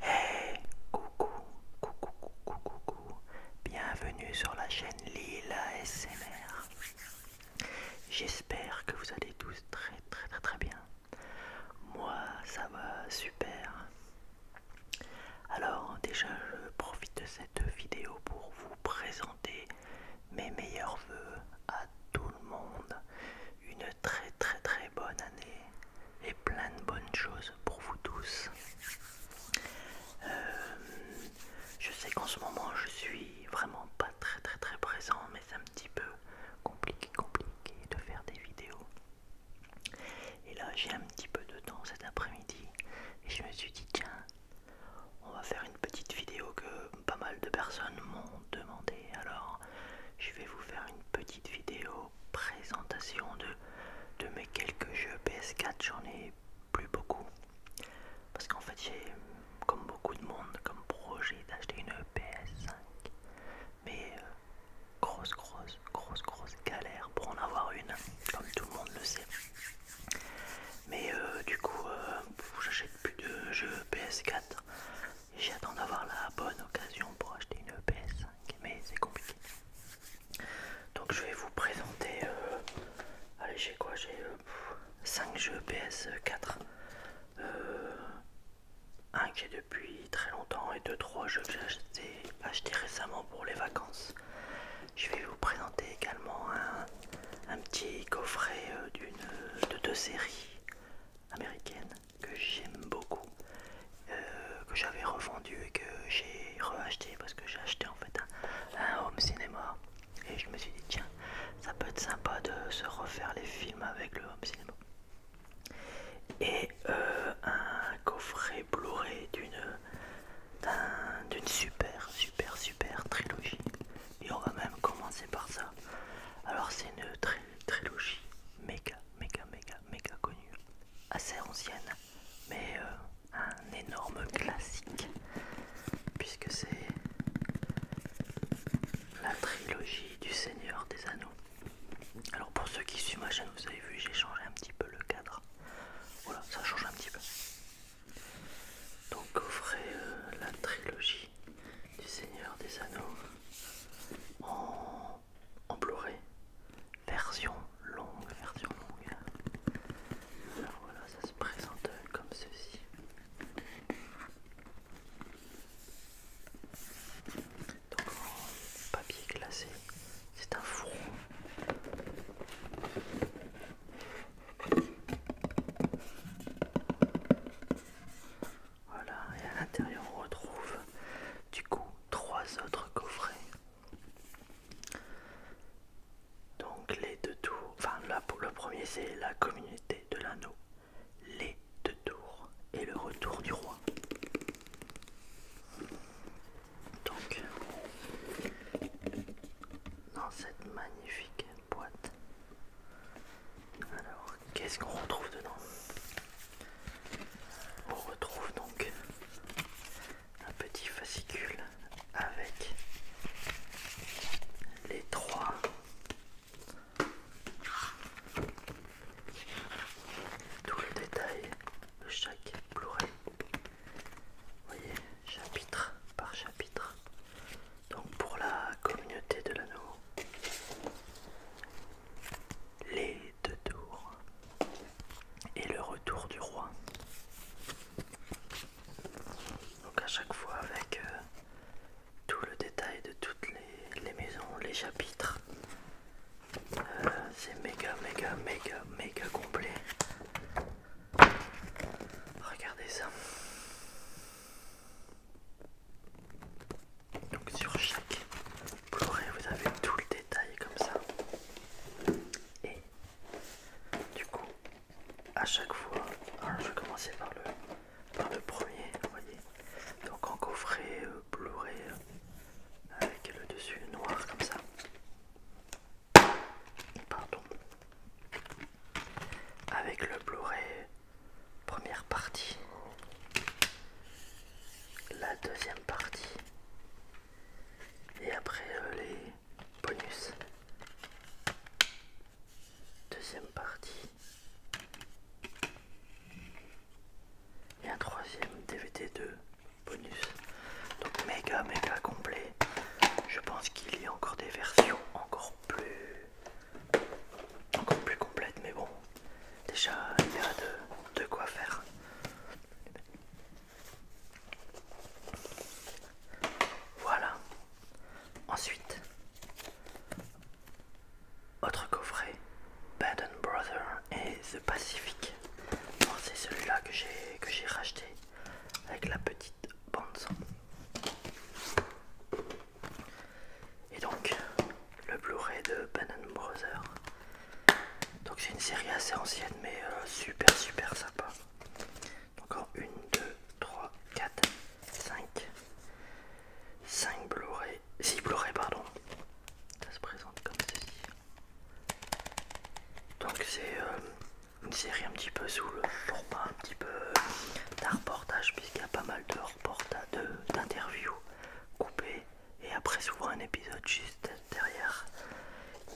Hey, coucou, coucou, coucou, coucou, bienvenue sur la chaîne Lila SMR. J'espère que vous allez tous très très très très bien. Moi, ça va super. Alors, déjà, je profite de cette vidéo pour vous présenter mes meilleurs voeux à tous le monde une très très très bonne année et plein de bonnes choses pour vous tous. Euh, je sais qu'en ce moment je suis vraiment pas très très très présent mais c'est un petit peu compliqué compliqué de faire des vidéos. Et là j'ai un petit peu de temps cet après-midi et je me suis dit tiens on va faire une petite vidéo que pas mal de personnes m'ont demander Alors, je vais vous faire une petite vidéo présentation de, de mes quelques jeux PS4. J'en ai plus beaucoup. Parce qu'en fait, j'ai, comme beaucoup de monde, comme projet d'acheter une PS5. Mais euh, grosse, grosse, grosse, grosse galère pour en avoir une, comme tout le monde le sait. Mais euh, du coup, euh, j'achète plus de jeux PS4. J'attends d'avoir la bonne occasion pour acheter une e PS5, mais c'est compliqué. Donc je vais vous présenter... Euh, allez, j'ai quoi J'ai 5 euh, jeux e PS4. Euh, un que j'ai depuis très longtemps et 2-3 jeux que j'ai achetés récemment pour les vacances. Je vais vous présenter également un, petit coffret d'une de deux séries américaines que j'aime beaucoup, euh, que j'avais revendu et que j'ai reacheté parce que j'ai acheté en fait un, home cinéma et je me suis dit tiens ça peut être sympa de se refaire les films avec le home cinéma et euh, un coffret Blu-ray d'une d'une super super super trilogie et on va même commencer par ça alors c'est une trilogie méga méga, méga, méga connue, assez ancienne, mais euh, un énorme classique, puisque c'est la trilogie du Seigneur des Anneaux. Alors pour ceux qui suivent ma chaîne, vous avez vu, j'ai changé un petit peu le cadre. Voilà, ça change un petit peu. Donc vous ferez euh, la trilogie du Seigneur des Anneaux en, pleuré version longue, version longue. Alors voilà, ça se présente comme ceci. Donc papier glacé, c'est un four voilà, et à l'intérieur on retrouve du coup trois autres coffrets. Donc les deux tours, enfin là pour le premier c'est la communauté de l'anneau, les deux tours et le retour du roi. Donc dans cette magnifique boîte, alors qu'est-ce qu'on retrouve dedans On retrouve donc un petit fascicule avec les trois tout le détail de chaque Blu-ray. Voyez, chapitre par chapitre. Donc pour la communauté de l'anneau, les deux tours et le retour du roi. Donc à chaque fois avec euh, tout le détail de toutes les, maisons, les chapitres. Euh, c'est méga méga méga méga complet. Regardez ça. Donc sur chaque Blu-ray vous avez tout le détail comme ça. Et du coup, à chaque fois, je vais commencer par le, par le premier, vous voyez. Donc en coffret euh, Blu-ray euh, avec le dessus noir comme ça. Pardon. Avec le Blu-ray première partie, la deuxième partie, et après euh, les bonus. Deuxième partie. Et un troisième DVT 2 bonus. Donc méga méga complet. Je pense qu'il y a encore des versions encore plus encore plus complète, mais bon, déjà il y a de, quoi faire. Voilà. Ensuite, autre coffret, Bad Brother et The Pacific. C'est celui-là que j'ai racheté avec la petite bande et donc, le Blu-ray de Bannon Brother, Donc, c'est une série assez ancienne, mais euh, super super sympa. Encore 1, 2, 3, 4, 5, 5 Blu-ray, 6 Blu-ray, pardon. Ça se présente comme ceci. Donc, c'est euh, une série un petit peu sous le format un petit peu d'un reportage, puisqu'il y a pas mal de reportages d'interviews coupé et après souvent un épisode juste derrière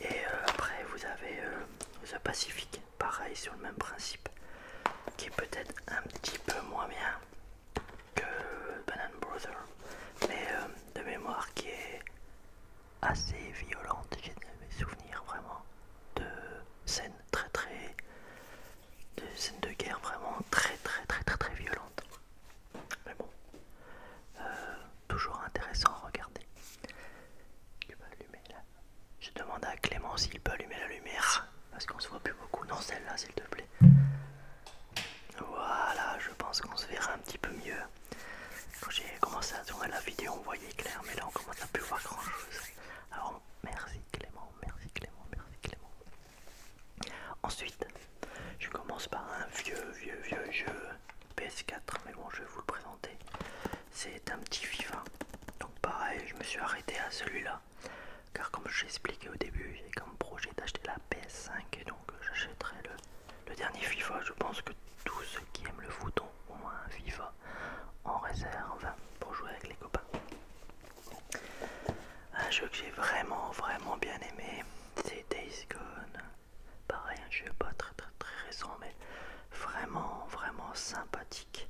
et euh, après vous avez euh, The Pacific pareil sur le même principe qui est peut-être un petit peu moins bien que Banan Brother mais euh, de mémoire qui est assez violente j'ai des souvenirs vraiment de scènes très très des scènes de guerre vraiment très très très très très violentes. Mais bon, euh, toujours intéressant à regarder. Tu peux allumer la... Je demande à Clément s'il peut allumer la lumière. Parce qu'on se voit plus beaucoup. Non, celle-là, s'il te plaît. Voilà, je pense qu'on se verra un petit peu mieux. Quand j'ai commencé à tourner la vidéo, on voyait clair, mais là on commence à plus voir grand chose. Alors merci Clément, merci Clément, merci Clément. Ensuite, je commence par un vieux, vieux, vieux jeu PS4, mais bon, je vais vous le présenter. C'est un petit FIFA. Donc, pareil, je me suis arrêté à celui-là. Car, comme je expliqué au début, j'ai comme projet d'acheter la PS5 et donc euh, j'achèterai le, dernier FIFA. Je pense que tous ceux qui aiment le foot ont au moins un FIFA en réserve pour jouer avec les copains. Un jeu que j'ai vraiment vraiment bien aimé, c'est Days Gone. Pareil, un jeu pas très très très récent, mais vraiment vraiment sympathique.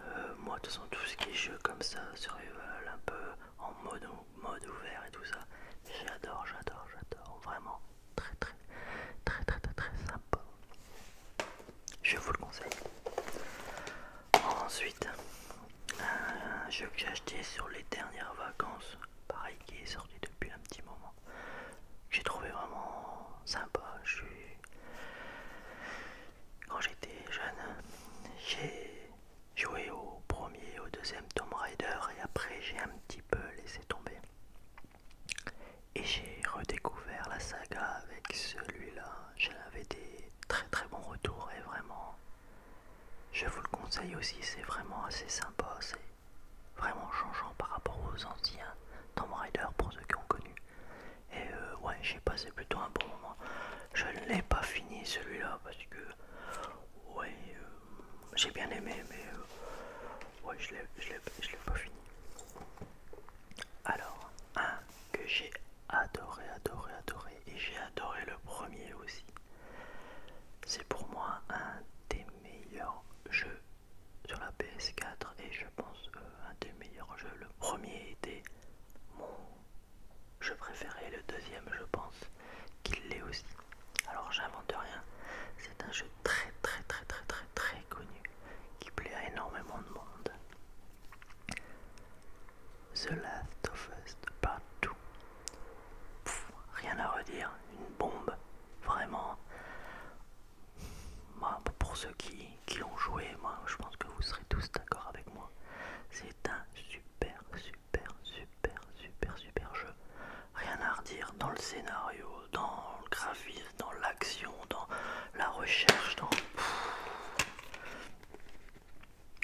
Euh, moi, de toute façon, tout ce qui est jeu comme ça, survival, un peu en mode, mode ouvert et tout ça, j'adore, j'adore, j'adore. Vraiment très très très très très, très sympa. Je vous le conseille. Ensuite, un jeu que j'ai acheté sur les dernières vacances, pareil qui est sorti depuis un petit moment. J'ai trouvé vraiment sympa. Quand j'étais jeune, j'ai joué au premier, au deuxième Tomb Raider et après j'ai un petit peu laissé tomber. Et j'ai redécouvert la saga avec celui-là j'avais des très très bons retours et vraiment je vous le conseille aussi, c'est vraiment assez sympa, c'est vraiment changeant par rapport aux anciens Tomb Raider pour ceux qui ont connu. Et euh, ouais, j'ai passé plutôt un bon moment. Je ne l'ai pas fini celui-là parce que ouais, euh, j'ai bien aimé, mais euh, ouais, je l'ai pas fini. Alors, un que j'ai adoré, adoré, adoré. Et j'ai adoré le premier aussi. C'est pour moi un des meilleurs jeux sur la PS4 et je pense euh, un des meilleurs jeux. Le premier était mon jeu préféré, le deuxième je pense qu'il l'est aussi. Alors j'invente rien, c'est un jeu très très très très très très connu qui plaît à énormément de monde. The Last of Us Part 2. rien à redire, une bombe, vraiment. pour ceux qui, qui joué, moi je pense que vous serez tous d'accord avec moi. C'est un super, super, super, super, super jeu. Rien à redire dans le scénario, dans le graphisme, dans l'action, dans la recherche, dans.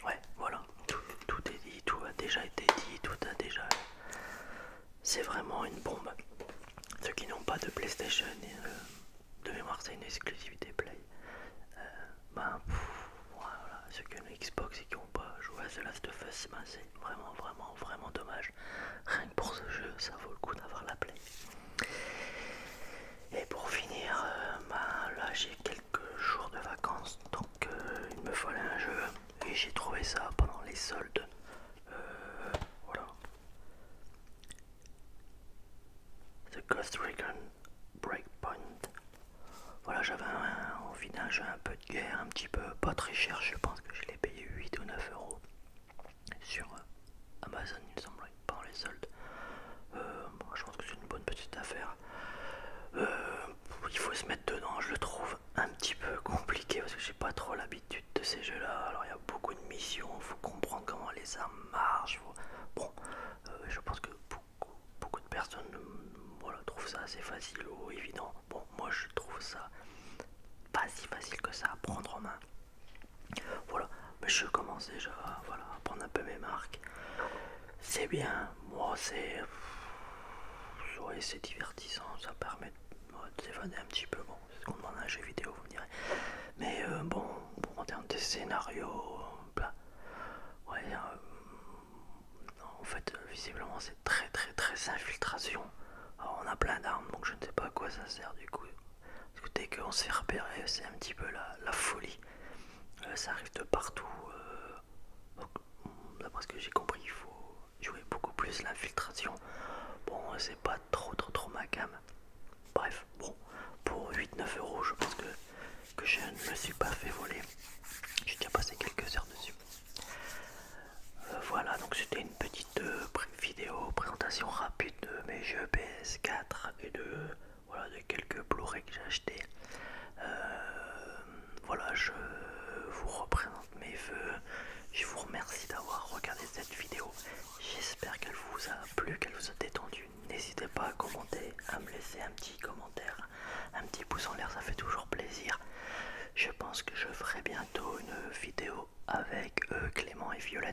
Ouais, voilà, tout, est dit, tout a déjà été dit, tout a déjà... C'est vraiment une bombe. Ceux qui n'ont pas de PlayStation, euh, de mémoire c'est une exclusivité Play. Euh, ben, voilà, ceux qui ont Xbox et qui n'ont pas joué à The Last of Us, ben, c'est vraiment, vraiment, vraiment dommage. Rien que pour ce jeu, ça vaut le coup d'avoir la Play. Et pour finir, euh, bah, là j'ai quelques jours de vacances, donc euh, il me fallait un jeu et j'ai trouvé ça pendant les soldes. Euh, voilà. The Ghost Recon Breakpoint. Voilà, j'avais envie d'un jeu un peu de guerre, un petit peu pas très cher, je pense que je l'ai payé 8 ou 9 euros sur Amazon, il me semble par les soldes. je pense que c'est une bonne petite affaire. Euh, il faut se mettre dedans, je le trouve un petit peu compliqué parce que j'ai pas trop l'habitude de ces jeux là. Alors il y a beaucoup de missions, il faut comprendre comment les armes marchent. Bon, euh, je pense que beaucoup, beaucoup de personnes mm, trouvent ça assez facile ou évident. Bon, moi je trouve ça pas si facile que ça à prendre en main. Voilà, mais je commence déjà voilà, à prendre un peu mes marques. C'est bien, moi c'est. c'est divertissant, ça permet de s'évader un petit peu. Bon, c'est ce qu'on demande à un jeu vidéo, vous me direz. Mais euh, bon, en termes de scénario, euh, en fait, euh, visiblement, c'est très très très infiltration. on a plein d'armes, donc je ne sais pas à quoi ça sert du coup. Parce que dès qu'on s'est repéré, c'est un petit peu la, folie. Euh, ça arrive de partout. Euh, d'après ce que j'ai compris, il faut jouer beaucoup plus l'infiltration. Bon, euh, c'est pas trop trop trop ma gamme. Bref, bon, pour 8-9 euros, je pense que, je ne me suis pas fait voler. J'ai déjà passé quelques heures dessus. voilà, donc c'était une petite vidéo présentation rapide de mes jeux PS4 et de voilà, de quelques blu que j'ai acheté. Euh, voilà, je vous représente mes vœux, Je vous remercie d'avoir regardé cette vidéo. J'espère qu'elle vous a plu, qu'elle vous a détendu. N'hésitez pas à commenter, à me laisser un petit commentaire, un petit pouce en l'air, ça fait toujours plaisir. Je pense que je ferai bientôt une vidéo avec euh, Clément et Violette